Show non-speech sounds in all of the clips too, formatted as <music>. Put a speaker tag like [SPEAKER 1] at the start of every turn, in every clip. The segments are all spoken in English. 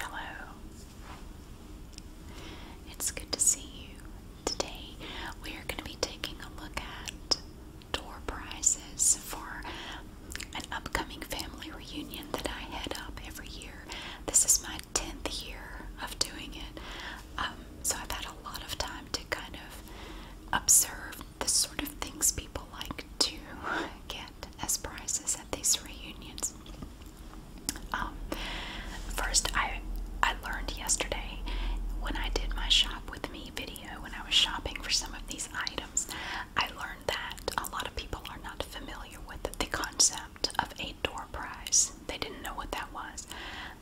[SPEAKER 1] Hello. It's good to see you. Today we are going to be taking a look at door prizes for an upcoming family reunion that I head up every year. This is my 10th year of doing it. Um, so I've had a lot of time to kind of observe the sort of things people like to <laughs> get as prizes at these reunions. Um, first, I I learned yesterday when I did my shop with me video when I was shopping for some of these items. I learned that a lot of people are not familiar with the concept of a door prize. They didn't know what that was.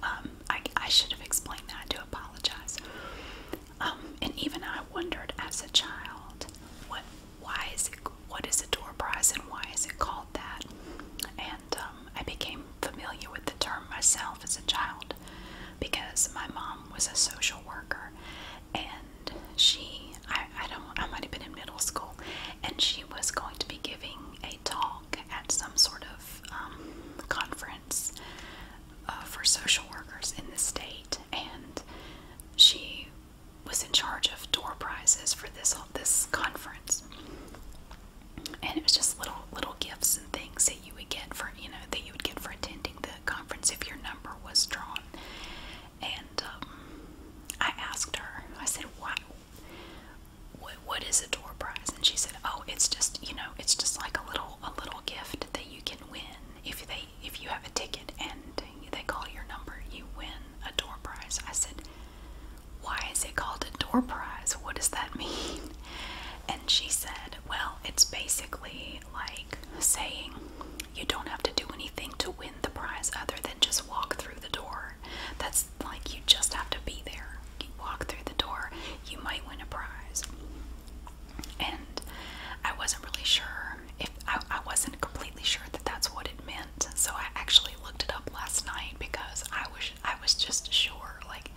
[SPEAKER 1] Um, I, I should have explained that. I do apologize. Um, and even I wondered as a child what why is it, what is a door prize and why is it called that? And um, I became familiar with the term myself as a child because my mom was a social worker and she, I, don't, I might have been in middle school and she was going to be giving a talk at some sort of um, conference uh, for social workers in the state and she was in charge of door prizes for this this conference, and it was just little little gifts and things that you would get for you know that you would get for attending the conference if your number was drawn. And um, I asked her, I said, "What? What, what is a door prize?" And she said, "Oh, it's just you know, it's just like a little a little gift that you can win if they if you have a ticket and they call your number, you win a door prize. I said, Why is it called a door prize? What does that <laughs> mean? And she said, Well, it's basically like saying you don't have to do anything to win the prize other than just walk through the door. That's like you just have to be there. You walk through the door, you might win a prize. And I wasn't really sure if I, I wasn't completely sure that that's what it meant. So I actually looked it up last night because I was I was just sure like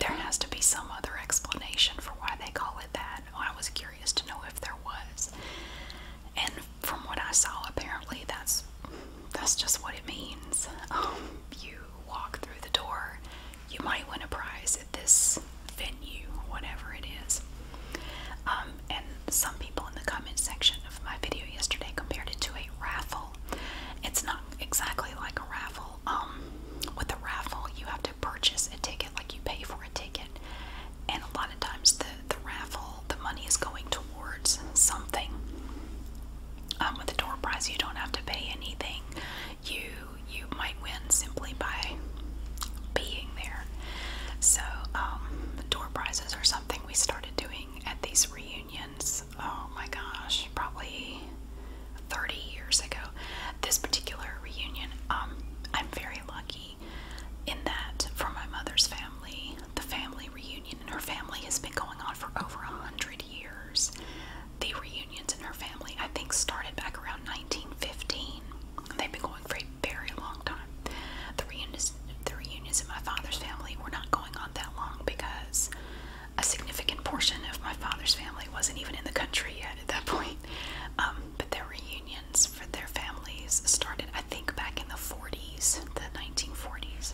[SPEAKER 1] there has to be some other explanation for why they call it that. I was curious to know if there was. And from what I saw, apparently that's that's just what it means. Um, you walk through the door, you might win a prize at this venue, whatever it is. Um, and some people in the comment section of my video yesterday compared it to a raffle. It's not exactly like a raffle. Um, with a raffle, you have to purchase a ticket, like you pay for a ticket, and a lot of times the the raffle, the money is going towards something. Um, with a door prize, you don't have to pay anything. You you might win simply by being there. So, um, door prizes or something we started doing at these reunions. Oh my gosh, probably 30 years ago. This particular reunion, um, I'm very lucky in that for my mother's family, the family reunion in her family has been going on for over a hundred years. The reunions in her family, I think, started back around 1915. They've been going for very long time. The reunions, the reunions in my father's family were not going on that long because a significant portion of my father's family wasn't even in the country yet at that point. Um, but their reunions for their families started, I think, back in the 40s, the 1940s.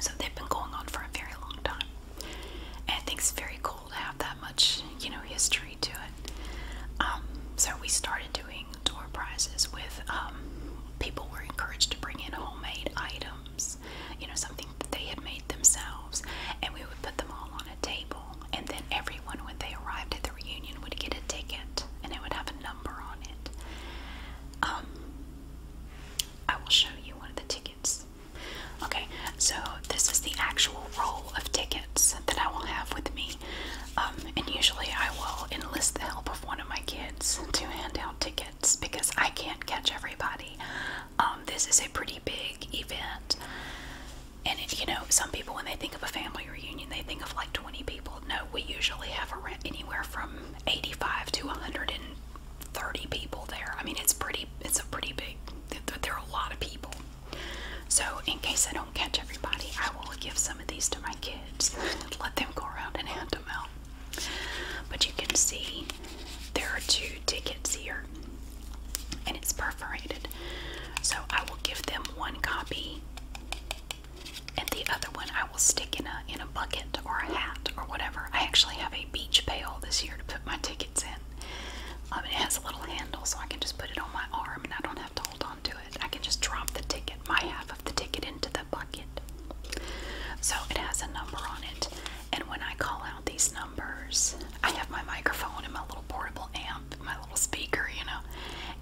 [SPEAKER 1] So they've been going on for a very long time. And I think it's very cool to have that much, you know, history um, so we started doing door prizes with um, people were encouraged to bring in homemade items, you know, something that they had made themselves, and we would put them all on a table. And then everyone, when they arrived at the reunion, would get a ticket, and it would have a number on it. Um, I will show you one of the tickets. Okay, so this is the actual roll of tickets person that I will have with me. Um, and usually I will enlist the help of one of my kids to hand out tickets because I can't catch everybody. Um, this is a pretty big event. And it, you know, some people when they think of a family reunion, they think of like 20 people. No, we usually have around anywhere from 85 to 130 people there. I mean, it's pretty. It's a pretty big. There are a lot of people. So, in case I don't catch everybody, I will give some of these to my kids. <laughs> Let them go around and hand them out. But you can see there are two tickets here, and it's perforated. So, I will give them one copy, and the other one I will stick in a in a bucket or a hat or whatever. I actually have a beach pail this year to put my tickets in. Um, it has a little handle, so I can just put it on my arm, and I don't have to hold on onto it. I can just drop the ticket, my half of the ticket, into the bucket. So it has a number on it, and when I call out these numbers, I have my microphone and my little portable amp, my little speaker, you know,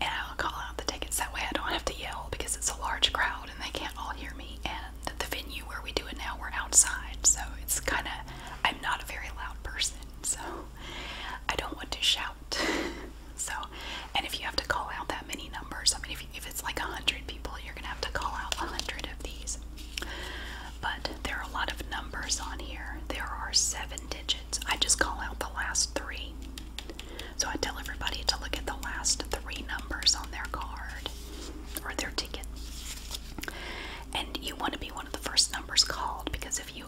[SPEAKER 1] and I'll call out the tickets. That way I don't have to yell because it's a large crowd and they can't all hear me. And the venue where we do it now, we're outside, so it's kind of, I'm not a very loud person, so I don't want to shout. <laughs> So, and if you have to call out that many numbers, I mean, if, you, if it's like 100 people, you're going to have to call out 100 of these. But there are a lot of numbers on here. There are seven digits. I just call out the last three. So I tell everybody to look at the last three numbers on their card or their ticket. And you want to be one of the first numbers called because if you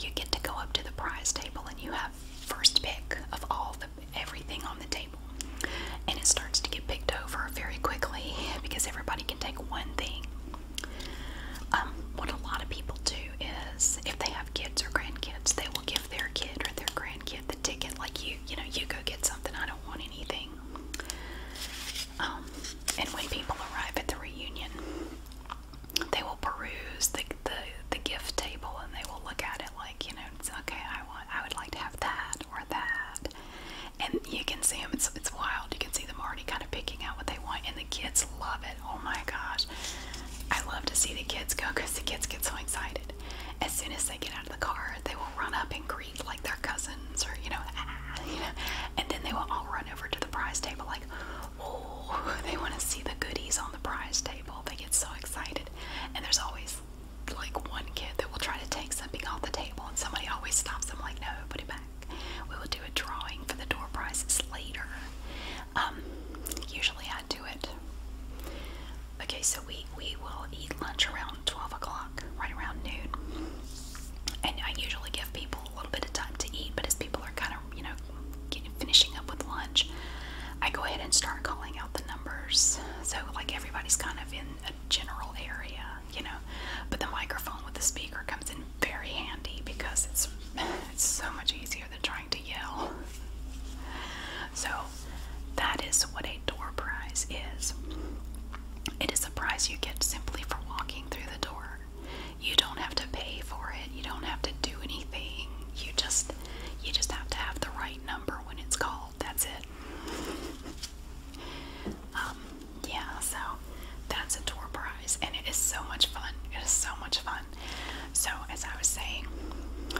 [SPEAKER 1] you get to go up to the prize table and you have first pick of all the everything on the table. And it starts to get picked over very quickly because everybody can take one thing. Um, what a lot of people do is if they have kids or grandkids, they will give their kid or their grandkid the ticket, like you, you know, you go get something, I don't want anything. Um, and when people arrive at the reunion, they will peruse the, the the gift table and they will look at it like you know it's okay I want I would like to have that or that and you can see them it's it's wild you can see them already kind of picking out what they want and the kids love it oh my gosh I love to see the kids go because the kids get so excited as soon as they get out of the car they will run up and greet like their cousins or you know, ah, you know and then they will all run over to the prize table like oh, they want to see the goodies on the prize table. They get so excited. And there's always like one kid that will try to take something off the table, and somebody always stops them, like, no, put it back. We will do a drawing for the door prizes later. Um, usually I do it. Okay, so we, we will eat lunch around 12 o'clock, right around noon. And I usually give people a little bit of time to eat, but as people are kind of, you know, getting, finishing up with lunch, I go ahead and start calling out the numbers. So, like, everybody's kind of in a general area, you know, but the microphone with the speaker comes in very handy because it's, it's so much easier than trying to yell. So, that is what a door prize is. It is a prize you get simply for walking through the door. You don't have to pay for it. You don't have to do anything. You just you just have to have the right number when it's called. That's it. um, yeah, so that's a tour prize and it is so much fun. It is so much fun. So as I was saying,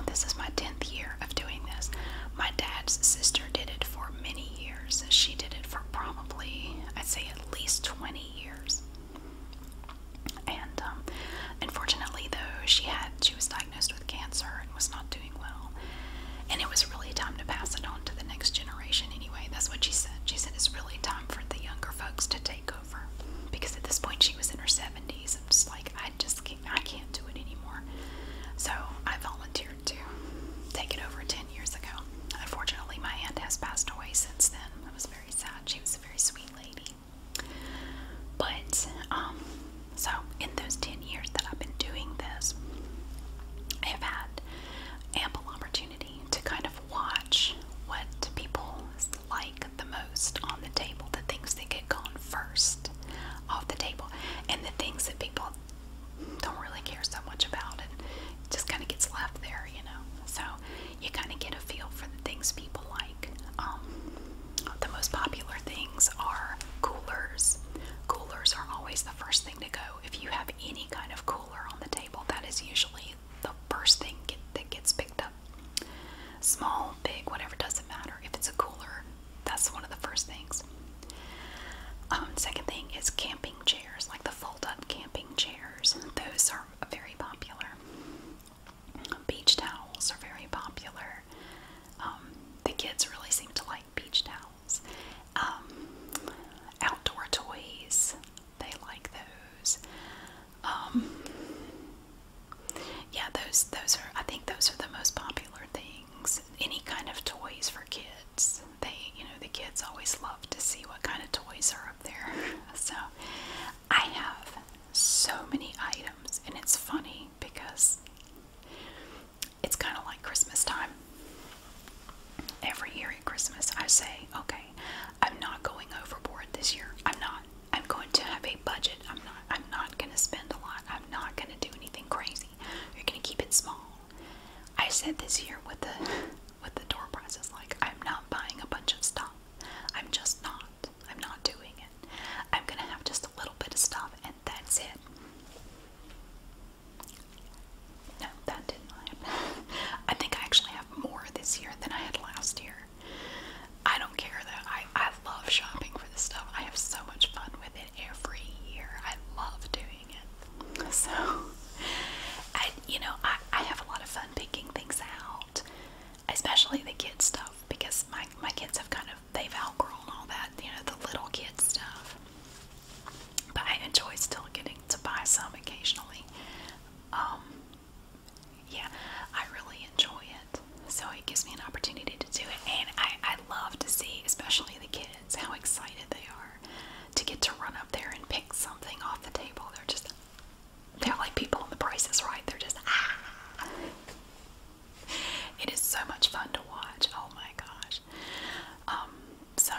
[SPEAKER 1] this is my 10th year of doing this. My dad's sister did it for many years. She did it for probably, I'd say at least 20 years. And um, unfortunately, though, she had she was diagnosed with cancer and was not doing well. And it was really time to pass it on to the next generation. Anyway, that's what she said. She said it's really time for the younger folks to take over because at this point she was in her seventies. I'm just like I just can't, I can't do it anymore. So I volunteered to take it over ten years ago. Unfortunately, my aunt has passed away since then. I was very sad. She was a very sweet lady. But um, so in those 10 years that I've been doing this, I have had ample opportunity to kind of watch what people like the most on the table, the things that get gone first off the table, and the things that people don't really care so much about and just kind of gets left there, you know. So you kind of get a feel for the things people like. Um, the most popular things are coolers. Coolers are always the first thing to go. If you have any kind of cooler on the table, that is usually the first thing get, that gets picked up. Small, big, whatever, doesn't matter. If it's a cooler, that's one of the first things. Um, second thing is camping chairs, like the fold up camping chairs. Those are very popular. Beach towels are very popular. Um, the kids really seem to like beach towels. Um, outdoor toys, they like those. Um, yeah, those those are. I think those are the most popular things. Any kind of toys for kids. They, you know, the kids always love to see what kind of toys are up there. <laughs> So, I have so many items, and it's funny because it's kind of like Christmas time. Every year at Christmas, I say, okay, I'm not going overboard this year. I'm not. I'm going to have a budget. I'm not. I'm not going to spend a lot. I'm not going to do anything crazy. You're going to keep it small. I said this year with the with the door prizes, like I'm not buying a bunch of stuff. I'm just not. I'm not doing it. I'm gonna have just a little bit of stuff and that's it. No, that didn't <laughs> I think I actually have more this year than I had last year. I don't care that I, I love shopping for this stuff. I have so much fun with it every year. I love doing it. <laughs> So I you know, I, I have a lot of fun picking things out out, especially the kid stuff because my my kids have kind of they've outgrown all that you know the little kid stuff. But I enjoy still getting to buy some occasionally. Um, yeah, I really enjoy it. So it gives me an opportunity to do it, and I, I love to see, especially the kids, how excited they are to get to run up there and pick something off the table. They're just they're like people on the prices, right? They're just ah. It is so much fun to watch. Oh my gosh. Um, so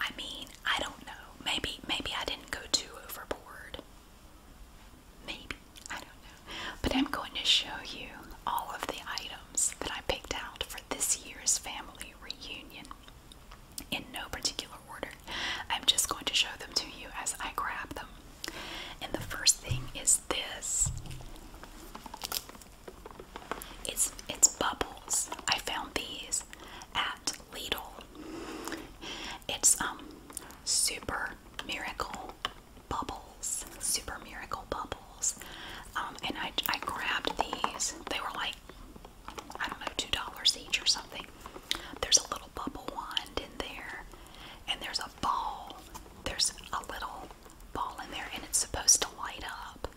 [SPEAKER 1] I mean, I don't know. Maybe maybe I didn't go too overboard. Maybe. I don't know. But I'm going to show you all of the items that I picked out for this year's family reunion in no particular I'm just going to show them to you as I grab them. And the first thing is this. It's it's bubbles. I found these at Lidl. It's um super miracle bubbles. Super miracle bubbles. Um, and I I grabbed these. They were like I don't know, two dollars each or something. There's a little bubble wand in there, and there's a ball. There's a little ball in there, and it's supposed to light up.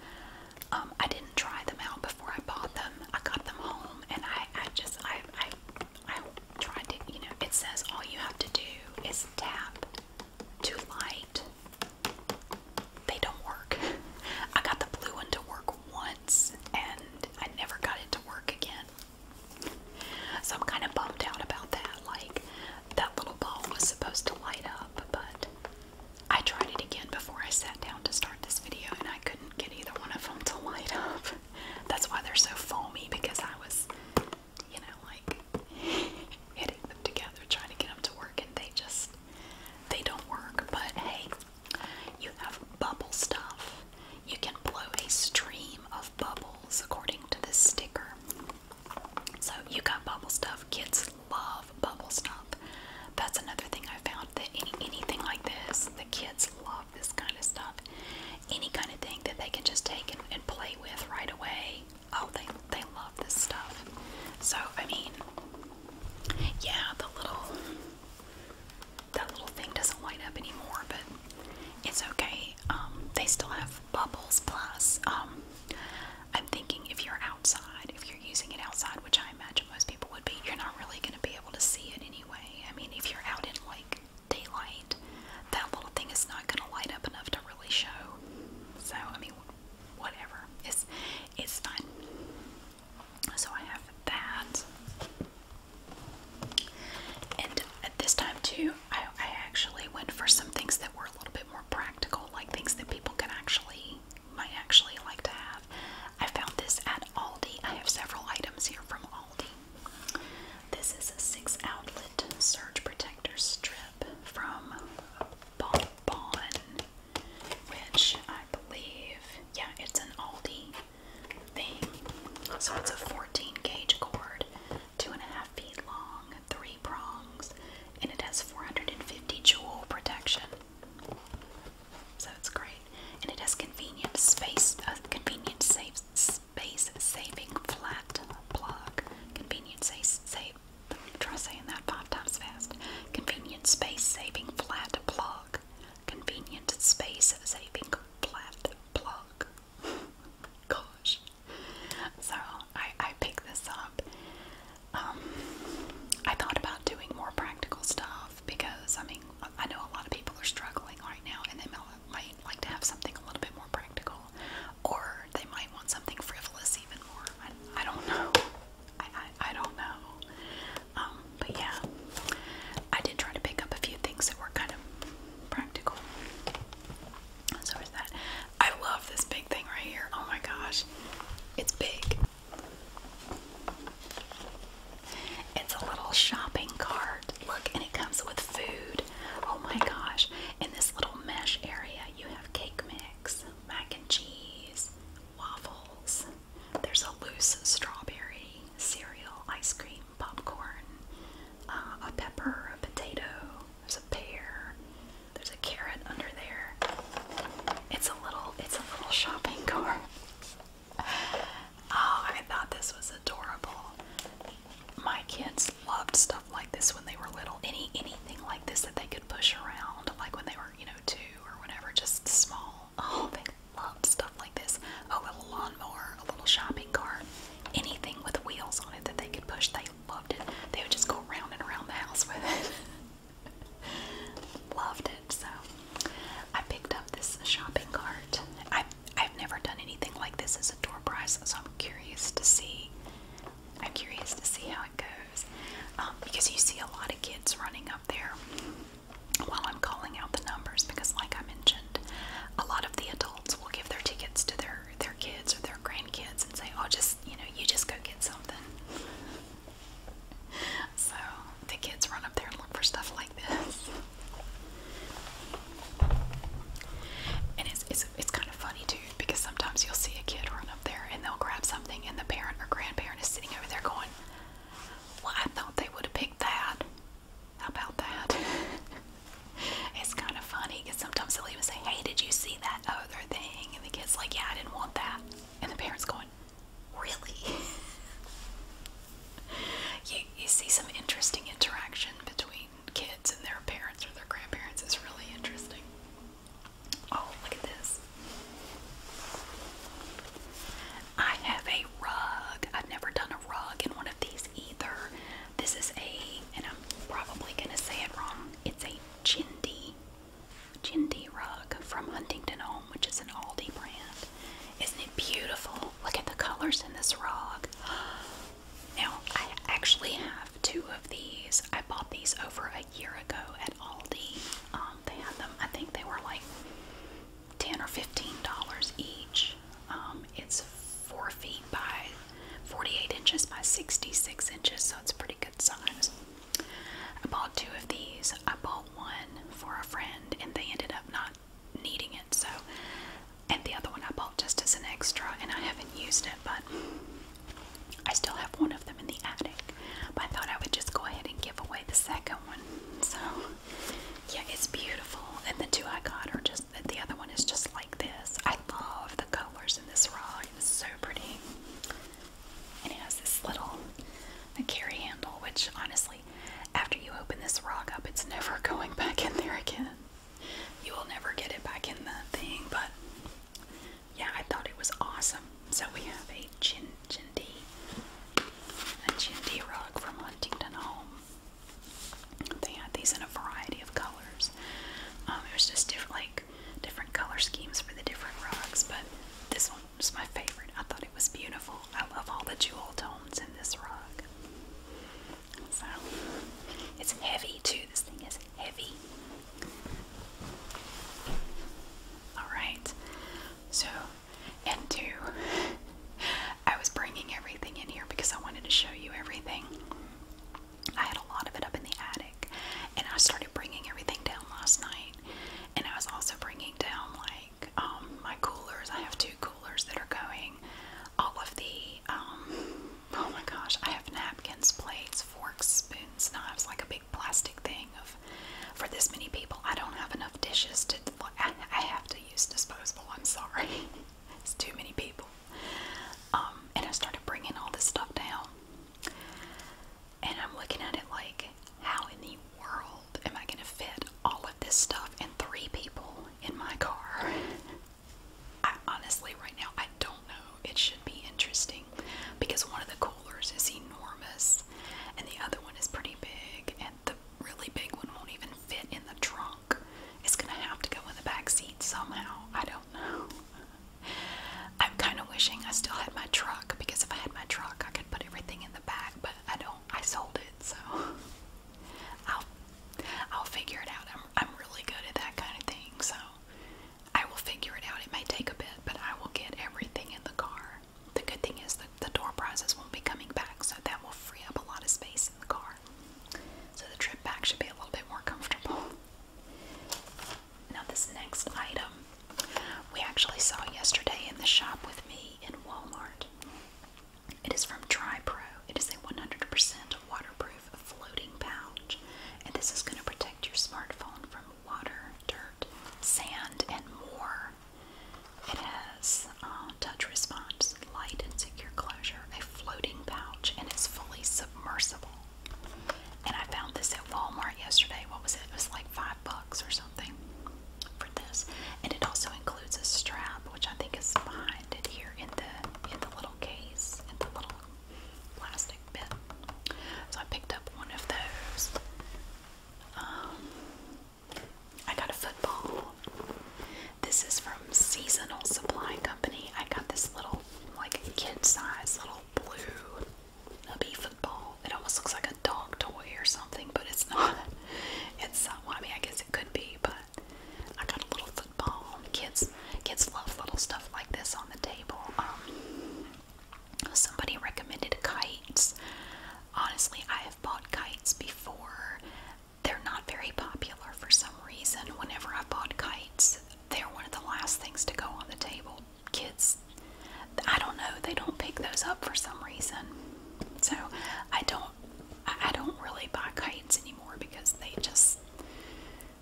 [SPEAKER 1] Um, I didn't try them out before I bought them. I got them home, and I, just I I tried to you know. It says all you have to do is tap to light. They don't work. <laughs> I got the blue one to work once, and I never got it to work again. So I'm kind of bummed out about that. Like, that little ball was supposed to light up, but I tried it again before I sat down to start this video and I couldn't get either one of them to light up. <laughs> That's why they're so foamy because I was, you know, like <laughs> hitting them together, trying to get them to work, and they just, they don't work. But hey, you have bubble stuff. You can blow a stream of bubbles according to this sticker. So you got bubble stuff. Kids love bubble stuff. That's another thing I found that anything like this, the kids love this kind of stuff. Any kind of thing that they can just take and, and play with right away. Oh, they they love this stuff. So I mean, yeah, the little that little thing doesn't light up anymore, but it's okay. Um, they still have bubbles. Plus, um, I'm thinking if you're outside, if you're using it outside, which I imagine most people would be, you're not really going to be able to see it anyway. I mean, if you're out in like daylight, that little thing is not going to light up enough to really show. So, I mean, whatever. It's it's fine. So I have that. And at this time too, I, actually went for some things that were a little bit more practical, like things that people can actually might actually like to have. I found this at Aldi. I have several items here from Aldi. This is a six outlet surge protector strip from Bon, which I believe, yeah, it's an Aldi so it's a 14 gauge cord, two and a half feet long, three prongs, and it has 450 joule protection. So it's great, and it has convenient space, uh, convenient safe space saving flat plug. Convenient space save. Try saying that five times fast. Convenient space saving flat plug. Convenient space saving flat plug. <laughs> Gosh. So I, I picked this up. Um, I thought about doing more practical stuff because I mean I know a lot of people are struggling right now and they might like to have something a little bit more practical or they might want something frivolous even more. I, don't <laughs> know. I, I, I don't know. Um, but yeah, I did try to pick up a few things that were kind of practical. So is that? I love this big thing right here. Oh my gosh, it's big. It's a little shopping cart. Look, and it comes with food. Oh my gosh. In this little mesh area, you have cake mix, mac and cheese, waffles. There's a loose strawberry, cereal, ice cream, popcorn, uh, a pepper, a potato, there's a pear, there's a carrot under there. It's a little, it's a little shopping <laughs> cart. Oh, I thought this was adorable. My kids loved stuff like this when they were little. Any anything like this that they could push around, like when they were, you know, two or whatever, just small Oh, they love stuff like this. Oh, a little lawnmower, a little shopping cart, anything with wheels on it that they could push. They loved it. They would just go around and around the house with it. <laughs> loved it. So I picked up this shopping cart. I I've never done anything like this as a door prize, so I'm curious to see. I'm curious to see how it goes um, because you see a lot of kids running up there while I'm calling out the numbers because like I mentioned, a lot of the adults will give their tickets to their their kids or their grandkids and say, "Oh, just, you know, you just go get something." So, the kids run up there and look for stuff like this. And it's, it's, it's kind of funny too because sometimes you'll see a kid run up there and they'll grab something, and the parent or grandparent is sitting over there going, Well, I thought they would have picked that. How about that? <laughs> it's kind of funny because sometimes they'll even say, Hey, did you see that other thing? And the kid's like, Yeah, I didn't want that. And the parent's going, Really? <laughs> you, you see some interesting interaction between kids and their parents or their grandparents. It's really interesting. Oh, look at this. I have a rug. I've never done rug in one of these either. This is a, and I'm probably going to say it wrong, it's a Chindi, Chindi rug from Huntington Home, which is an Aldi brand. Isn't it beautiful? Look at the colors in this rug. Now, I actually have two of these. I bought these over a year ago at Aldi. Um, they had them, I think they were like ten or fifteen dollars each. Um, it's four feet by forty-eight inches by sixty-six inches, so it's pretty good size. I bought two of these. I bought one for a friend, and they ended up not needing it. So, and the other one I bought just as an extra, and I haven't used it, but I still have one of them in the attic. But I thought I would just go ahead and give away the second one. So yeah, it's beautiful. And the two I got are just the other one is just like this. I love the colors in this rock. It's so pretty. And it has this little carry handle, which honestly, after you open this rock up, it's never <laughs> going back in there again. You will never get it back in the thing, but yeah, I thought it was awesome. So we have a chin chindi, a chindi rock from Huntington Home. They had these in a variety of colors. Um, it was just different, like different color schemes for the different rugs, but this one was my favorite. I thought it was beautiful. I love all the jewel tones in this rug. So it's heavy too. This thing is heavy. All right. So and two, I was bringing everything in here because I wanted to show you everything. I had a lot of it up in the attic, and I started bringing everything down last night. And I was also bringing down like um, my coolers. I have two coolers that are going. All of the um, oh my gosh, I have napkins, plates, forks, spoons, knives, like a big plastic thing of for this many people. I don't have enough dishes to. I have to use disposable. I'm sorry. <laughs> it's too many people. Um, and I started bringing all this stuff down. And I'm looking at it like, how in the world am I going to fit all of this stuff and three people in my car? <laughs> honestly, right now, I don't know. It should be interesting because one of the coolers is enormous and the other one is pretty big, the really big one won't even fit in the trunk. It's gonna have to go in the back seat somehow. I don't know. <laughs> I'm kind of wishing I still had my truck because if I had my truck, I could put everything in the back. But I don't. I sold it, so <laughs> I'll I'll figure it out. I'm I'm really good at that kind of thing, so I will figure it out. It may take a bit, but I will get everything in the car. The good thing is the the door prizes won't be coming back, so that will free up a lot of space in the car. So the trip back should be a little bit more comfortable. Now, this next item we actually saw yesterday in the shop with me in Walmart. It is from Dry Pro. It is a 100% waterproof floating pouch, and this is going to protect your smartphone from water, dirt, sand, and more. It has uh, touch response, light and secure closure, a floating pouch, and it's fully submersible. And I found this at Walmart yesterday. What was it? It was like five bucks or something for this. And it also includes a strap, which I think is behind it here in the in the little case, in the little plastic bit. So I picked up one of those. Um, I got a football. This is from Seasonal Supply Company. I got this little, like, kid size little blue nubby football. It almost looks like a dog toy or something, but it's not. <laughs> It's, uh, well, I mean, I guess it could be, but I got a little football. Kids, kids love little stuff like this on the table. Um, somebody recommended kites. Honestly, I have bought kites before they're not very popular for some reason. Whenever I bought kites, they're one of the last things to go on the table. Kids, I don't know, they don't pick those up for some reason. So I don't, I don't really buy kites anymore because they just,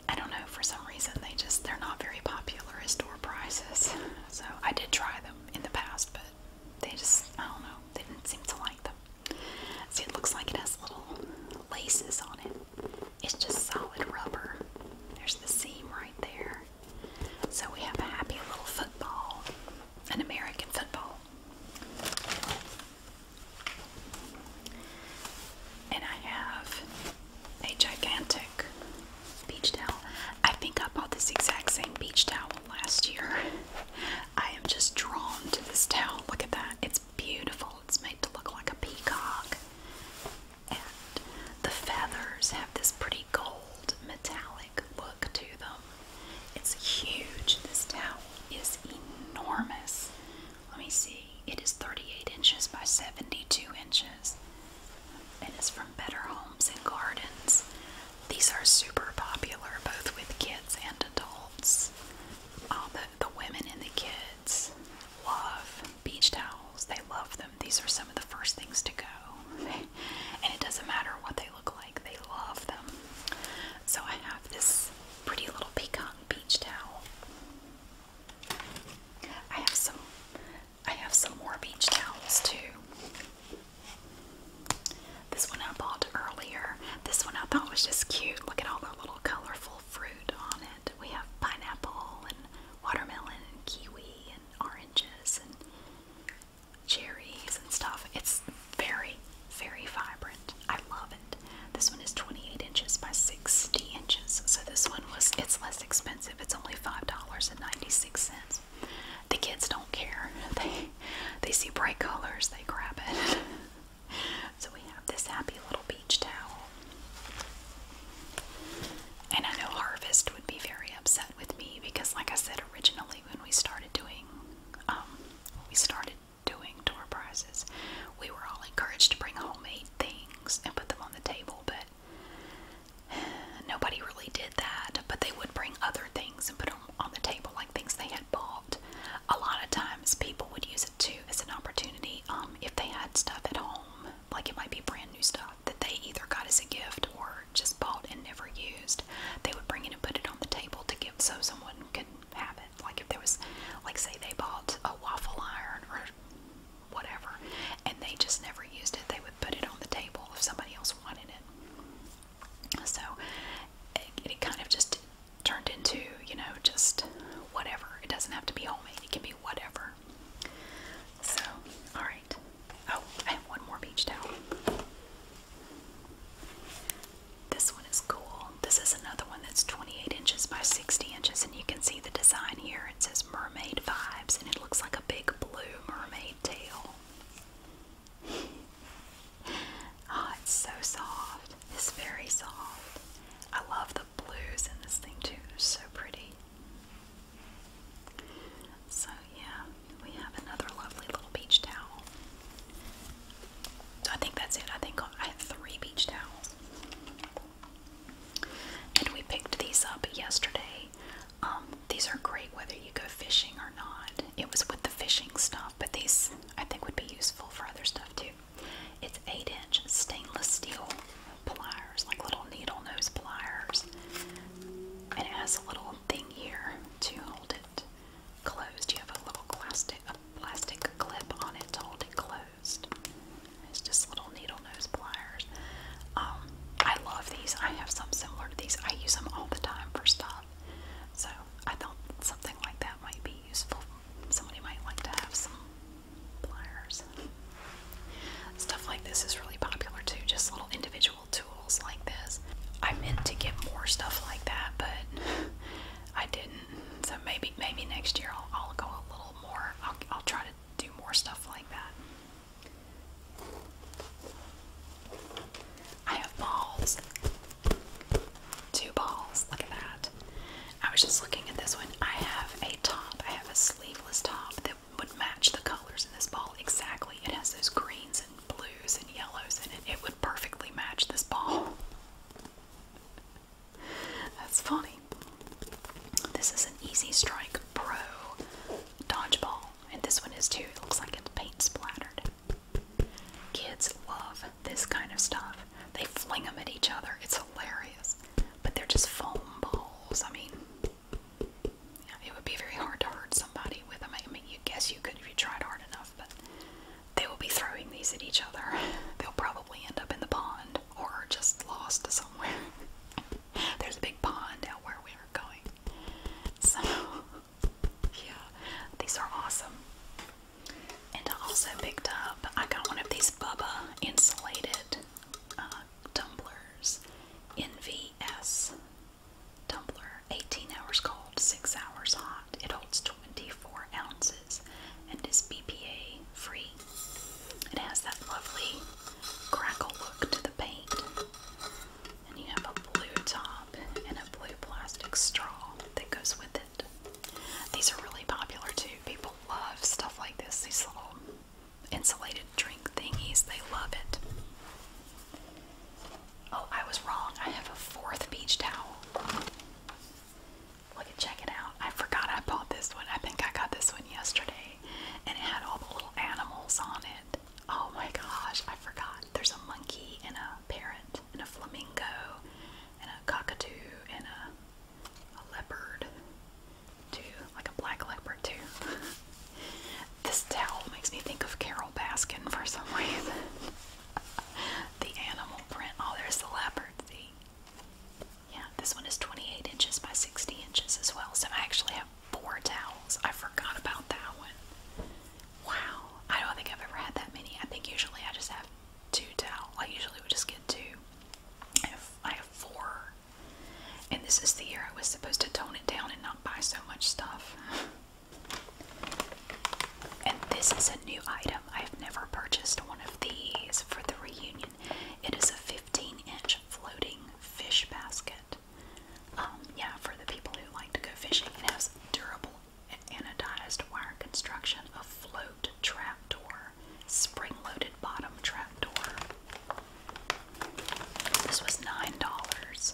[SPEAKER 1] I don't know, for some reason they just, they're not very popular as door prizes. So I did try them in the past, but they just, I don't know, they didn't seem to like them. See, it looks like it has little laces on it. It's just solid rubber. There's the seam right there. So we have a happy little football, an American football. And I have a gigantic beach towel. I think I bought this exact same beach towel last year. I am just drawn to this towel. Look at that. It's beautiful. It's made to look like a peacock. And the feathers have this pretty gold metallic look to them. It's huge. This towel is enormous. Let me see. It is 38 inches by 72 inches. And it's from Better Homes and Gardens. These are super popular both with kids and adults. All um, the, the women and the kids love beach towels. They love them. These are some of the first things to go. <laughs> and it doesn't matter what they look like, they love them. So I have this pretty little peacock beach towel. I have some I have some more beach towels too. This one I bought earlier. This one I thought was just cute. Look at all the little colorful fruit on it. We have pineapple and watermelon and kiwi and oranges and cherries and stuff. It's very, very vibrant. I love it. This one is 28 inches by 60 inches. So this one was, it's less expensive. It's only $5.96. The kids don't care. <laughs> they see bright colors, they grab it. <laughs> so we have this happy little beach towel. And I know Harvest would be very upset with me because, like I said originally, when we started doing, um, we started doing door prizes, we were all encouraged to bring homemade things and put them on the table, but <sighs> nobody really did that. But they would bring other things and put them on the table, like things they had had bought. A lot of times people would use it too as an opportunity um, if they had stuff at home, like it might be brand new stuff that they either got as a gift or just bought and never used. They would bring it and put it on the table to give so someone could have it. Like if there was, like say they bought a waffle iron or whatever and they just never used it, they would put it on the table if somebody else wanted it. So it, kind of just turned into, you know, just whatever. It doesn't have to be homemade, it can be whatever. So, alright. Oh, I have one more beach towel. This one is cool. This is another one that's 28 inches by 60 inches, and you can see the design here. It says Mermaid Vibes, and it looks like a big blue mermaid tail oh, it's so soft. It's very soft. I love the blues in this thing too. They're so pretty. So yeah, we have another lovely little beach towel. So I think that's it. I think I have three beach towels. And we picked these up yesterday. Um, these are great whether you go fishing or not. It was with the fishing stuff, but these I think would be useful for other stuff too. It's 8 inch stainless steel pliers, like little needle nose pliers. it has a little thing here to hold it closed. You have a little plastic, a plastic clip on it to hold it closed. It's just little needle nose pliers. Um, I love these. I have some similar to these. I use them all the time for stuff. So I thought something like that might be useful. Somebody might like to have some pliers. Stuff like this is really popular too, just little individual tools like this. I meant to get more stuff like that, but I didn't. So maybe maybe next year I'll, I'll go a little more. I'll, I'll try to do more stuff like that. I have balls. Two balls. Look at that. I was just looking at this one. I have a top. I have a sleeveless top that would match the colors in this ball exactly. It has those greens and blues and yellows in it. It would perfectly match this ball. <laughs> That's funny. This is an Easy Strike Pro dodgeball, and this one is too. It looks like it's paint splattered. Kids love this kind of stuff. They fling them at each other. It's hilarious. But they're just foam balls. I mean, it would be very hard to hurt somebody with them. I mean, you guess you could if you tried hard enough, but they will be throwing these at each other. <laughs> They'll probably end up in the pond or just lost somewhere. <laughs> There's a big pond out where we are going. So yeah, these are awesome. And I also picked up, I got one of these Bubba insulated uh, tumblers, NVS tumbler, 18 hours cold, 6 hours hot. It holds 24 ounces and is BPA free. It has that lovely crackle look to the paint. And you have a blue top and a blue plastic straw that goes with it. These are really popular too. People love stuff like this. These little insulated drink thingies. They love it. Oh, I was wrong. I have a fourth beach towel. Look at check it out. I forgot I bought this one. I think I got this one yesterday. And it had all the little animals on it. Oh my gosh, I forgot. There's a monkey and a parrot and a flamingo and a cockatoo and a, leopard too, like a black leopard too. <laughs> this towel makes me think of Carol Baskin for some reason. <laughs> the animal print. Oh, there's the leopard. See? Yeah, this one is 28 inches by 60 inches as well. So I actually have four towels. I forgot about that one. Wow, I don't think I've ever had that many. I think usually I just have two towels. I usually would just get two. I I have four. And this is the year I was supposed to tone it down and not buy so much stuff. And this is a new item. I've never purchased one of these for the reunion. It is a 15 inch floating fish basket. Um, yeah, for the people who like to go fishing, it has durable an anodized wire construction of float trapdoor, spring-loaded bottom trapdoor. This was nine dollars.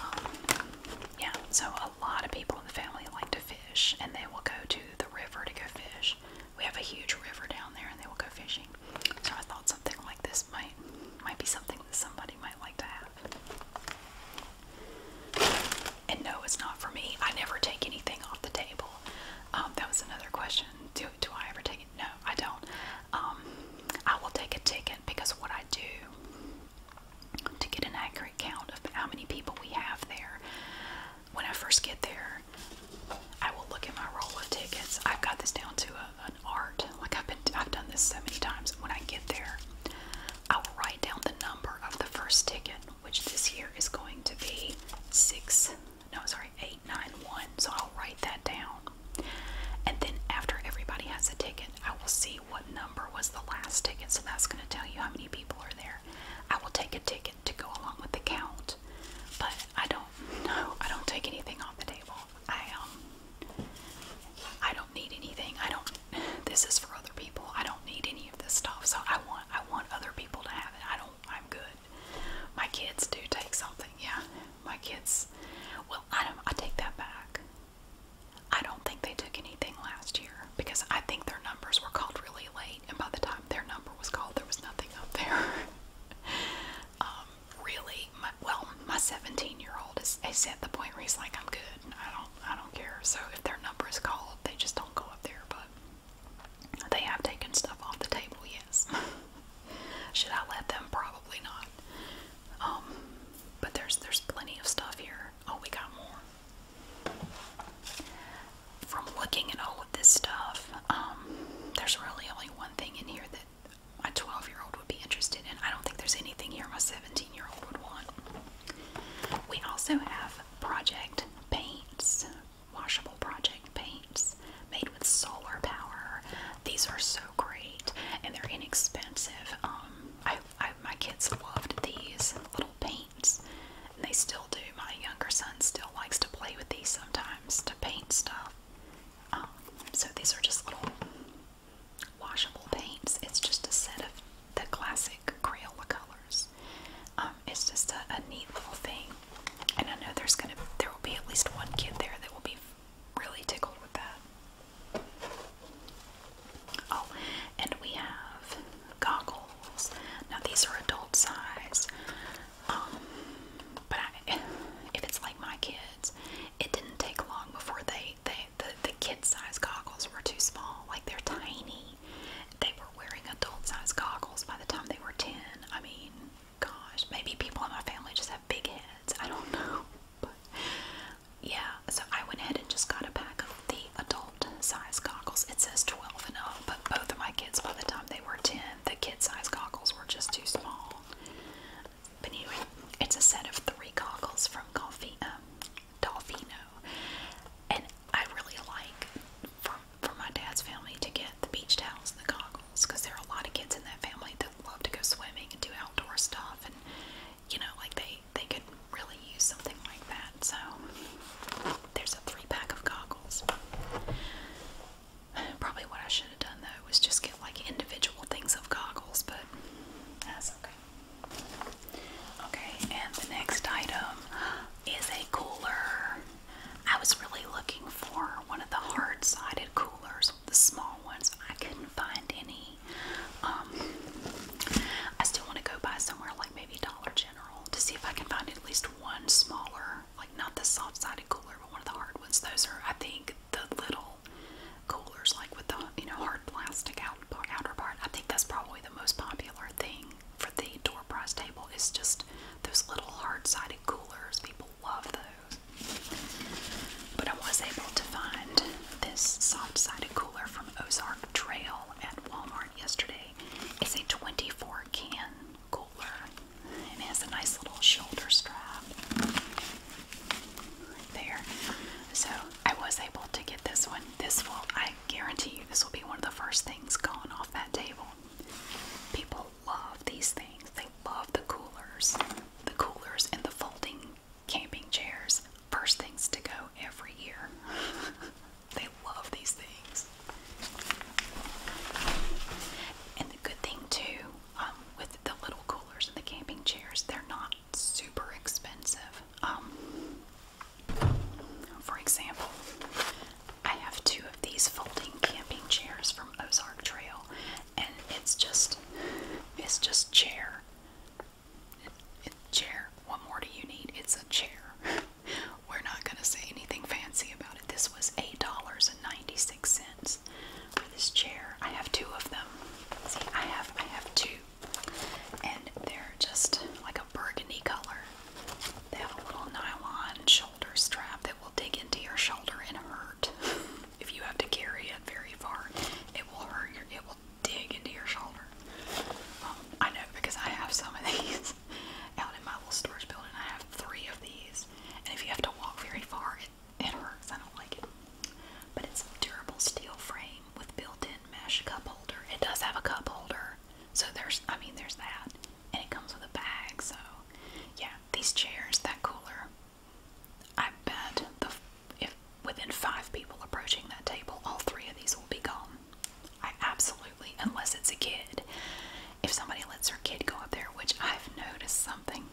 [SPEAKER 1] Um, yeah, so a lot of people in the family like to fish, and they will go to the river to go fish. We have a huge river down there, and they will go fishing. So I thought something like this might might be something that somebody might like to have. And no, it's not for me. I never take anything off the table. Um, that was another question. Do do I ever take it? No, I don't. Um, I will take a ticket because what I do to get an accurate count of how many people we have there. When I first get there, I will look at my roll of tickets. I've got this down to an art. Like I've been, I've done this so many times. When I get there, I will write down the number of the first ticket, which this year is going to be six. No, sorry, eight nine one. So I'll write that down, and then after everybody has a ticket, I will see what number was the last ticket. So that's going to tell you how many people are there. I will take a ticket to go along with the count, but I don't <laughs> know. I don't take anything off the table. I um, I don't don't need anything. I don't this is for other people. I don't need any of this stuff. So I want I want other people to have it. I don't I'm good. My kids do take something. Yeah. My kids well, I don't I take that back. I don't think they took anything last year because I think their numbers were called really late and by the time their number was called there was nothing up there. <laughs> um really my, well, my 17-year-old is, is at the point where he's like I'm good. I don't I don't care. So if their number is called, they just don't go up there. But they have taken stuff off the table. Yes. <laughs> Should I let them? Probably not. Um, but there's there's plenty of stuff here. Oh, we got more. From looking at all of this stuff, um, there's really only one thing in here that a 12 year old would be interested in. I don't think there's anything here my 17 year old would want. We also have project paints, washable project paints made with solar power. These are so great and they're inexpensive. Um, I, I, my kids loved these little paints. And they still do. My younger son still likes to play with these sometimes to paint stuff. Um, so these are just little washable paints. It's just a set of the classic Crayola colors. Um, it's just a, neat little thing, and I know there's gonna there will be at least one kid there that will be really tickled with that. Oh, and we have goggles. Now these are adult size, um, but <laughs> if it's like my kids, it didn't take long before they they, the, the kid size goggles were too small. Like they're tiny. They were wearing adult size goggles by the time they were 10. I mean, gosh, maybe people in my family just have big heads. I don't <laughs> know. But yeah, so I went ahead and just got a pack of the adult size goggles. It says 12 and up, but both of my kids, by the time they were 10, the kid size goggles were just too small. But anyway, it's a set of three goggles from Coffee, um, Dolfino. And I really like for, for my dad's family to get the beach towels and the goggles because there are a lot of kids in that family that love to go swimming and do outdoor stuff. And, you know, like they, they could really use something like that. So there's a three pack of goggles. Probably what I should have done though was just get like individual things of goggles, but that's okay. Okay, and the next item is a cooler. I was really looking for one of the hard sided coolers, the small ones. I couldn't find any. Um, I still want to go by somewhere like maybe Dollar General to see if I can find at least one smaller, like not the soft sided cooler, but one of the hard ones. Those are, I think, the little coolers, like with the you know hard plastic out, outer part. I think that's probably the most popular thing for the door prize table is just those little hard-sided coolers. People love those. But I was able to find this soft-sided cooler from Ozark Trail at Walmart yesterday. It's a 24 can cooler and it has a nice little shoulder strap right there. So I was able to get this one. This will, I guarantee you, this will be one of the first things gone off that table. People love these things. They love the coolers, the coolers and the folding camping chairs. First things to go every year. <laughs> they love these things. And the good thing too, um, with the little coolers and the camping chairs, they're not super expensive. Um, for example, I have two of these folding camping chairs from Ozark Trail, and it's just it's just chair. chair. What more do you need? It's a chair. <laughs> We're not gonna say anything fancy about it. This was eight dollars and ninety six cents for this chair. I have two of them. See, I have I have two and they're just like a burgundy color. They have a little nylon shoulder strap that will dig into your shoulder and hurt. <laughs> if you have to carry it very far, it will hurt your it will dig into your shoulder. Um, I know because I have some of <laughs> these out in my little storage building. I have three of these, and if you have to walk very far, it it hurts. I don't like it. But it's a durable steel frame with built-in mesh cup holder. It does have a cup holder, so there's I mean there's that, and it comes with a bag. So yeah, these chairs, that cooler. I bet the if within five people approaching that table, all three of these will be gone. I absolutely, unless it's a kid. If somebody lets their kid go up there, which I've noticed something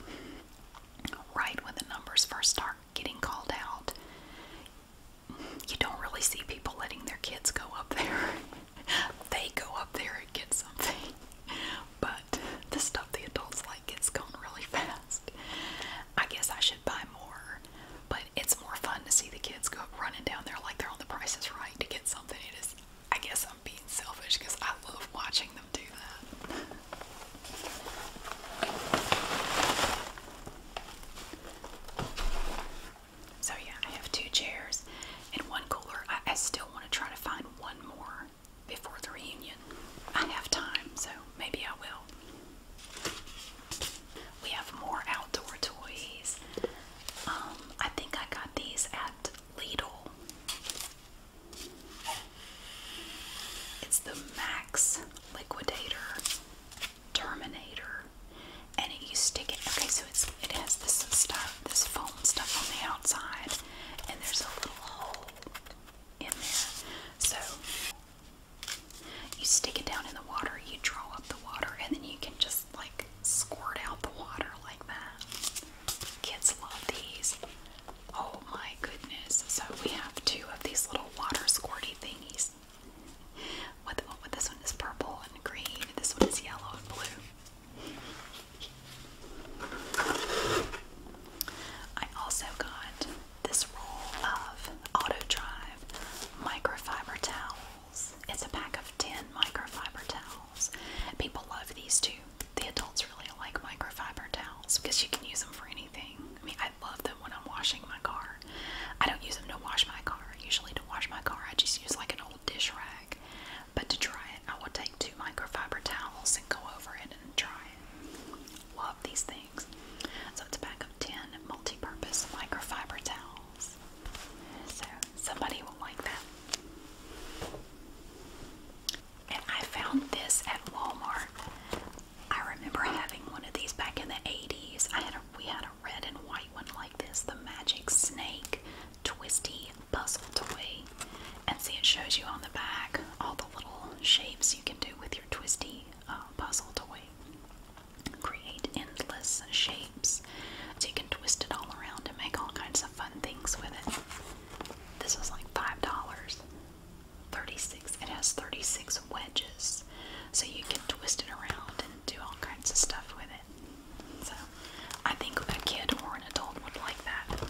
[SPEAKER 1] right when the numbers first start getting called out, you don't really see people letting their kids go up there. <laughs> they go up there and get something. But the stuff the adults like gets gone really fast. I guess I should buy more, but it's more fun to see the kids go running down there like they're on the Price is Right to get something. It is. I guess I'm being selfish because I love watching them do that. So yeah, I have two chairs and one cooler. I, still want to try to find one more before the reunion. I have time, so maybe I will. We have more outdoor toys. Um, I think I got these at Lidl. It's the Max Liquidator Terminator, and you stick it. Okay, so it's it has this stuff, this foam stuff on the outside, and there's a little hole in there. So you stick it down in the water, you draw up the water, and then you can just like squirt out the water like that. Kids love these. Oh my goodness! So we have two of these little water squirty thingies. What, what this one is purple and green. This one is yellow and blue. I also got this roll of Auto microfiber towels. It's a pack of 10 microfiber towels. People love these too. The adults really like microfiber towels because you can use them for anything. I I love them when I'm washing my car. I don't use them to wash my car. Usually to wash my car, I just use like an old dish rag. But to dry it, I will take two microfiber towels and go over it and dry it. Love these things. So it's a pack of 10 multi-purpose microfiber towels. So somebody will like that. And I found this at Walmart. I remember having one of these back in the 80s. I had a, we had a red and white one like this, the Magic Snake Twisty Puzzle Toy. And see, it shows you on the back all the little shapes you can do with your twisty uh, puzzle toy. Create endless shapes. So you can twist it all around and make all kinds of fun things with it. This was like $5. 36. It has 36 wedges, so you can twist it around and do all kinds of stuff with it. So I think a kid or an adult would like that.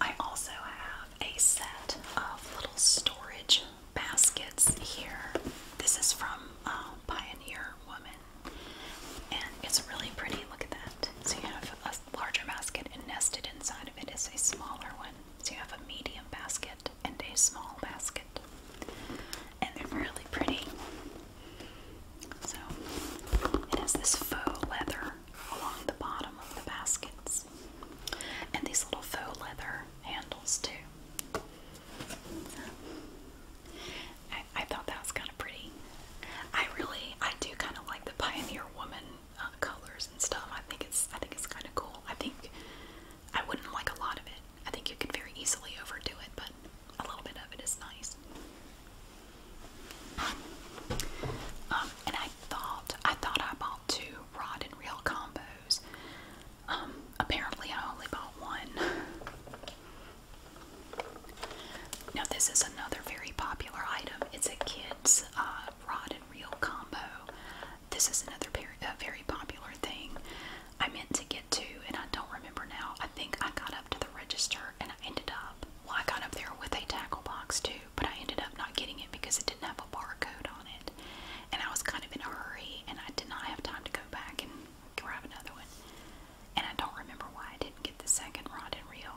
[SPEAKER 1] I also have a set of little storage baskets here. This is from um, Pioneer Woman, and it's really pretty. Look at that. So you have a larger basket and nested inside of it is a smaller one. So you have a medium basket and a small basket. And they're really pretty. So it has this faux leather along the bottom of the baskets. And these little faux leather handles too. I, thought that was kind of pretty. I really, I do kind of like the Pioneer Woman uh, colors and stuff. I think it's, I think it's kind of cool. I think I wouldn't like a lot of it. I think you could very easily overdo it, but a little bit of it is nice. Um, and I thought, I thought I bought two rod and reel combos. Um, apparently I only bought one. Now, this is another very popular item. It's a kids' uh, rod and reel combo. This is another very popular thing. I meant to get two, and I don't remember now. I think I got up to the register and I ended up, well, I got up there with a tackle box too, but I ended up not getting it because it didn't have a barcode on it. And I was kind of in a hurry, and I did not have time to go back and grab another one. And I don't remember why I didn't get the second rod and reel.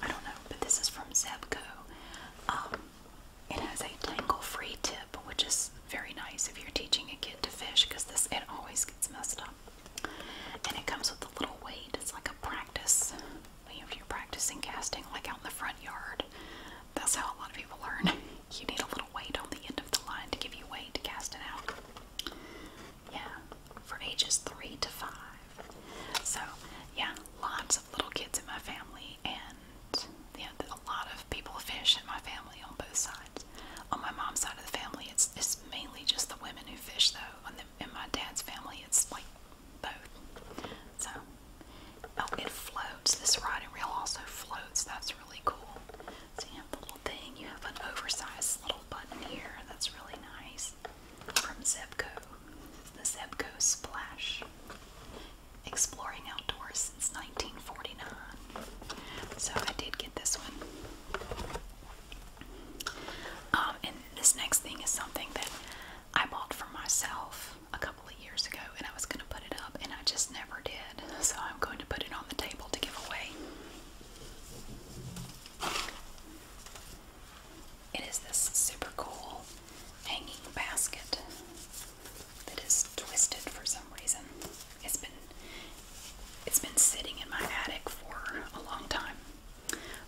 [SPEAKER 1] I don't know, but this is from Zebco. Um, it has a tangle-free tip, which is very nice if you're teaching a kid to fish, because this it always gets messed up. And it comes with a little weight. It's like a practice. You know, if you're practicing casting, like out in the front yard, that's how a lot of people learn. <laughs> you need a little weight on the end of the line to give you weight to cast it out yeah, for ages three to five. So, yeah, lots of little kids in my family, and yeah, a lot of people fish in my family on both sides. On my mom's side of the family, it's it's mainly just the women who fish, though. On the, in my dad's family, it's like both. So, oh, it floats. This rod and reel also floats. That's really cool. So you have the little thing. You have an oversized little button here. That's really nice from Zebco. The Zebco Splash. Exploring outdoors since 1949. So I did get this one. Um, and this next thing is something that I bought for myself a couple of years ago, and I was going to put it up, and I just never did. So I'm going to put it on the table to give away. It is this super cool hanging basket that is twisted for some reason. It's been it's been sitting in my attic for a long time.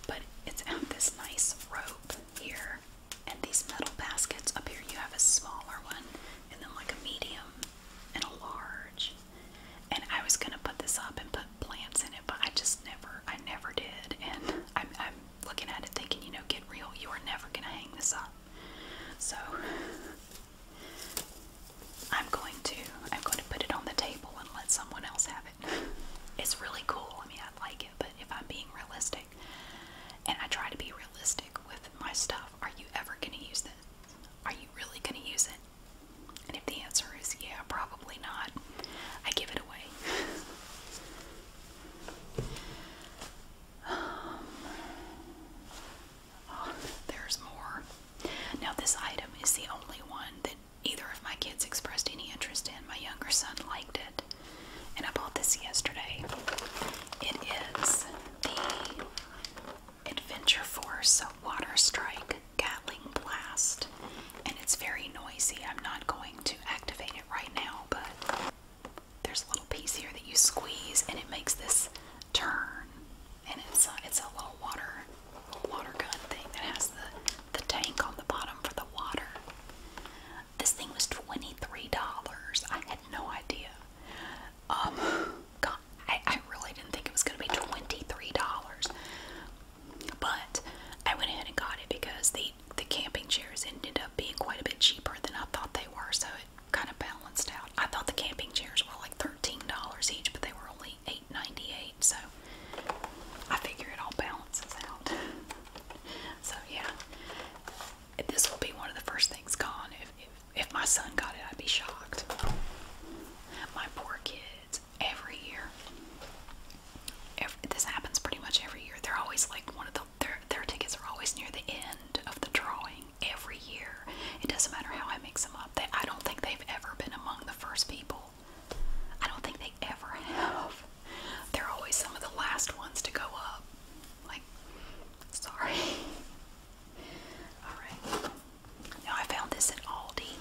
[SPEAKER 1] But it's out this nice rope here. And these metal baskets up here you have a smaller one and then like a medium and a large. And I was gonna put this up and put plants in it, but I just never, I never did. And I'm looking at it thinking, you know, get real, you are never going to hang this up. So I'm going to, I'm going to put it on the table and let someone else have it. It's really cool. I mean, I like it, but if I'm being realistic, and I try to be realistic with my stuff, are you ever going to use this? Are you really going to use it? And if the answer is yeah, probably not, I give it away. <sighs> Oh, there's more. Now, this item is the only one that either of my kids expressed any interest in. My younger son liked it, and I bought this yesterday. It is the Adventure Force Water Strike Gatling Blast, and it's very noisy. I'm not going to activate it right now, but there's a little piece here that you squeeze, and it makes this turn. And it's it's a little water water gun thing that has the the tank on the bottom for the water. This thing was twenty three dollars. I had no idea. Um, I, I really didn't think it was going to be twenty three dollars. But I went ahead and got it because the the camping chairs ended up being quite a bit cheaper than I thought they were, so it kind of balanced out. I thought the camping chairs were like thirteen dollars each, but they were only $8.98, so I figure it all balances out. <laughs> so yeah, this will be one of the first things gone. If, if if my son got it, I'd be shocked. My poor kids every year. this happens pretty much every year. They're always like one of the their their tickets are always near the end of the drawing every year. It doesn't matter how I mix them up. I don't think they've ever been among the first people. I don't think they ever have. They're always some of the last ones to go up. Like, sorry. <laughs> All right. I found this at Aldi.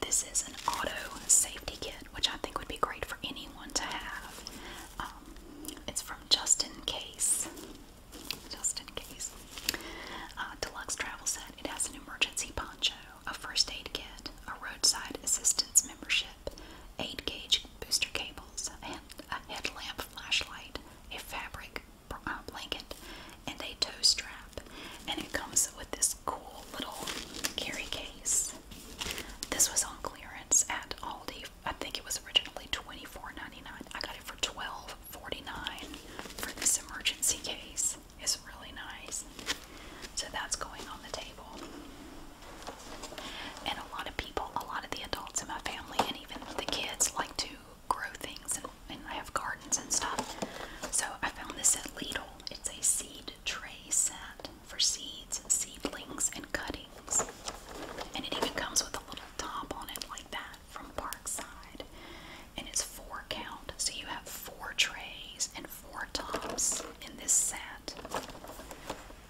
[SPEAKER 1] This is an auto safety kit, which I think would be great for anyone to have. Um, it's from Just In Case. Just In Case. Uh, deluxe travel set. It has an emergency poncho, a first aid kit, a roadside assistance membership, 8 gauge booster cables, and a headlamp flashlight, a fabric um, blanket, and a toe strap. And it comes with this cool little carry case. This was on clearance at Aldi. I think it was originally $24.99. I got it for $12.49 for this emergency case. It's really nice. So that's going on the table. And a lot of people, a lot of the adults in my family, and even the kids, like to grow things and, and have gardens and stuff. So I found this at Lidl it's a seed tray set for seeds, seedlings, and cuttings. And it even comes with a little top on it like that from Parkside. And it's four count, so you have four trays and four tops in this set.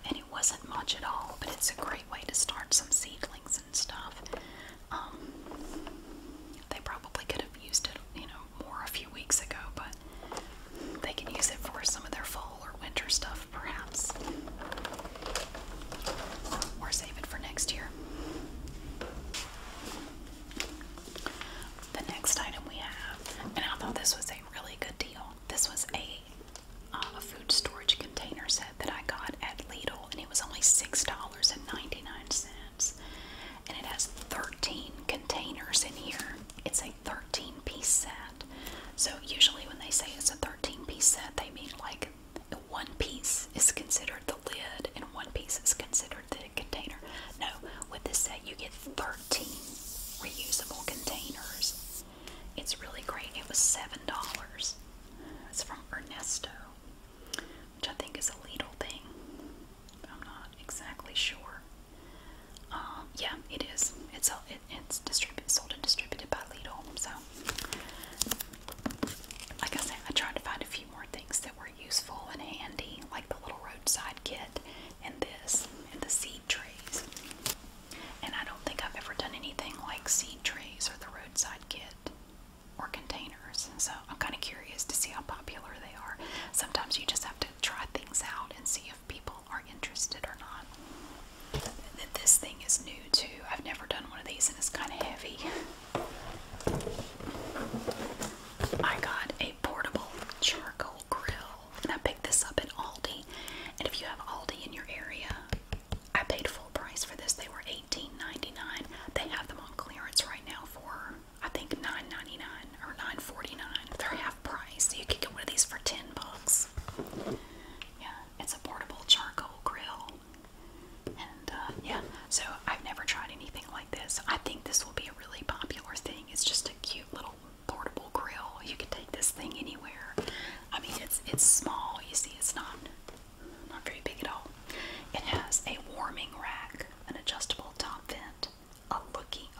[SPEAKER 1] And it wasn't much at all, but it's a great way to start some seedlings and stuff. Um, they probably could have used it, you know, more a few weeks ago, but they can use it for some of their fall or winter stuff, perhaps. Or save it for next year. The next item we have, and I thought this was a really good deal. This was a uh, a food storage container set that I got at Lidl, and it was only six dollars and ninety nine cents and it has 13 containers in here. It's a 13 piece set. So, usually when they say it's a 13 piece set, they mean like one piece is considered the lid and one piece is considered the container. No, with this set, you get 13 reusable containers. It's really great. It was $7. It's from Ernesto, which I think is a Lidl thing. I'm not exactly sure. Um, yeah, it is. It's it, it's distributed, sold and distributed by Lidl. So, like I said, I tried to find a few more things that were useful and handy, like the little roadside kit, and this, and the seed trays. And I don't think I've ever done anything like seed trays or the roadside kit or containers. So I'm kind of curious to see how popular they are. Sometimes you just have to try things out and see if people are interested or not. This thing is new too. I've never done one of these and it's kind of heavy. I got a portable charcoal grill and I picked this up at Aldi. And if you have Aldi in your area, I paid full price for this. They were $18.99. They have them on clearance right now for I think 9 or 9 They're half price. You could get one of these for 10 bucks. Yeah, it's a portable charcoal grill. And uh, yeah, so I've never tried anything like this. I think this will be a really popular thing. It's just a cute little portable grill. You can take this thing anywhere. I mean, it's it's small. You see, it's not not very big at all. It has a warming rack, an adjustable top vent,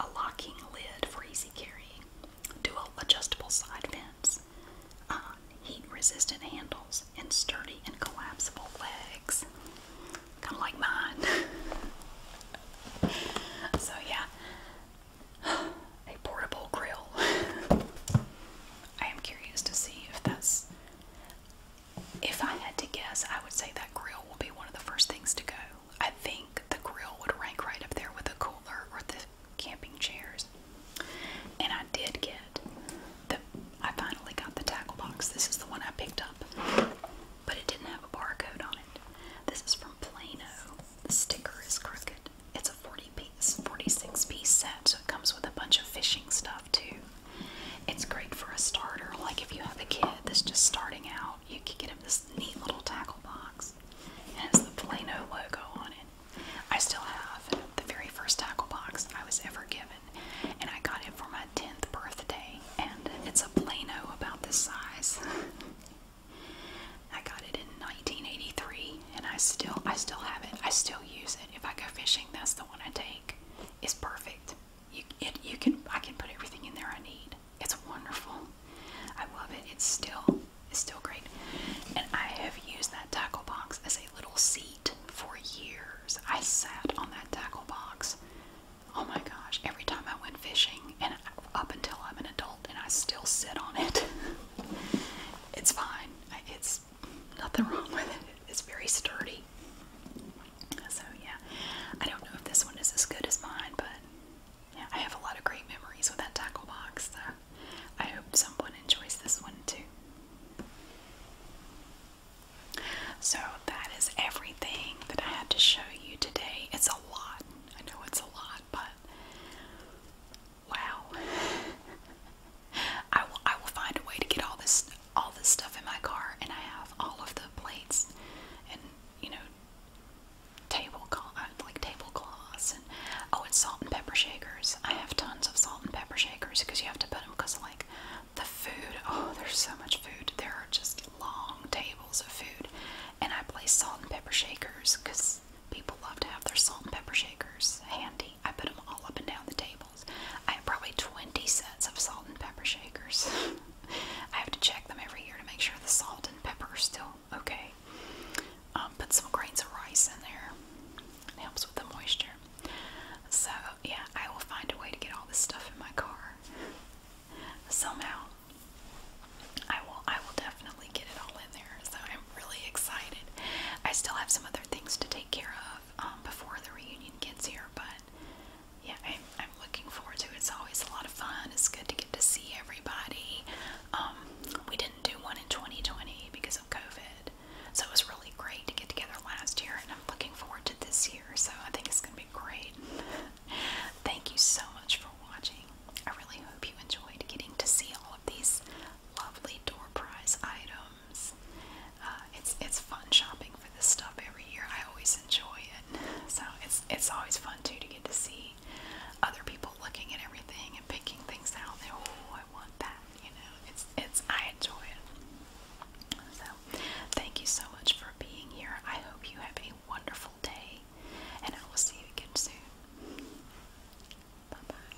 [SPEAKER 1] a locking lid for easy carrying, dual adjustable side vents, uh, heat-resistant handles, and sturdy and collapsible legs, kind of like mine. <laughs> so yeah, a portable grill. <laughs> I am curious to see if that's if I had to guess, I would say that grill will be one of the first things to go. I think the grill would rank right up there with the cooler or the camping chairs. And I did get the I finally got the tackle box. This is the one I picked up. But it didn't have a barcode on it. This is from Plano. The sticker is crooked. It's a 40 piece, 46 piece set, so it comes with a bunch of fishing stuff too. It's great for a starter. Like if you have a kid that's just starting out, you could get them this neat little tackle box. and it's the Plano logo on it. I still have the very first tackle box I was ever given, and I got it for my 10th birthday. And it's a Plano about this size. I got it in 1983, and I still I still have it. I still use it. If I go fishing, that's the one I take. It's perfect you, it, you can I can put everything in there I need. It's wonderful. I love it. It's still it's still great. And I have used that tackle box as a little seat for years. I sat on that tackle box. Oh my gosh, every time I went fishing and up until I'm an adult and I still sit on it. <laughs> it's fine. It's nothing wrong with it. It's very sturdy. So yeah, I don't know if this one is as good as mine, but I have a lot of great memories with that tackle box. So I hope someone enjoys this one too. So that is everything that I had to show you today. It's a lot. I know it's a lot, but wow. <laughs> I will I will find a way to get all this all this stuff in my car, and I have all of the plates and you know tablecloth, uh, like tablecloths, and oh, it's salt and pepper shakers. I have tons of salt and pepper shakers because you have to put them because like the food. Oh, there's so much food. There are just long tables of food, and I place salt and pepper shakers because people love to have their salt and pepper shakers handy. I put them all up and down the tables. I have probably 20 sets of salt and pepper shakers. <laughs> I have to check them every year to make sure the salt and pepper are still okay. Um, put some grains of rice in there. It helps with the moisture. So yeah, I will find a way to get all this stuff in my car. Somehow, I will. I will definitely get it all in there. So I'm really excited. I still have some other things to take care of um, before the reunion gets here, but yeah, I'm, I'm looking forward to it. It's always a lot of fun. It's good to get to see everybody. Um, we didn't do one in 2020 because of COVID, so it was really great to get together last year, and I'm looking forward to this year. So I think it's going to be great. <laughs> Thank you so much for watching. I really hope you enjoyed getting to see all of these lovely door prize items. Uh, it's it's fun shopping over this stuff every year. I always enjoy it. So it's it's always fun too to get to see other people looking at everything and picking things out. And, oh, I want that. You know, it's it's I enjoy it. So thank you so much for being here. I hope you have a wonderful day, and I will see you again soon. Bye bye.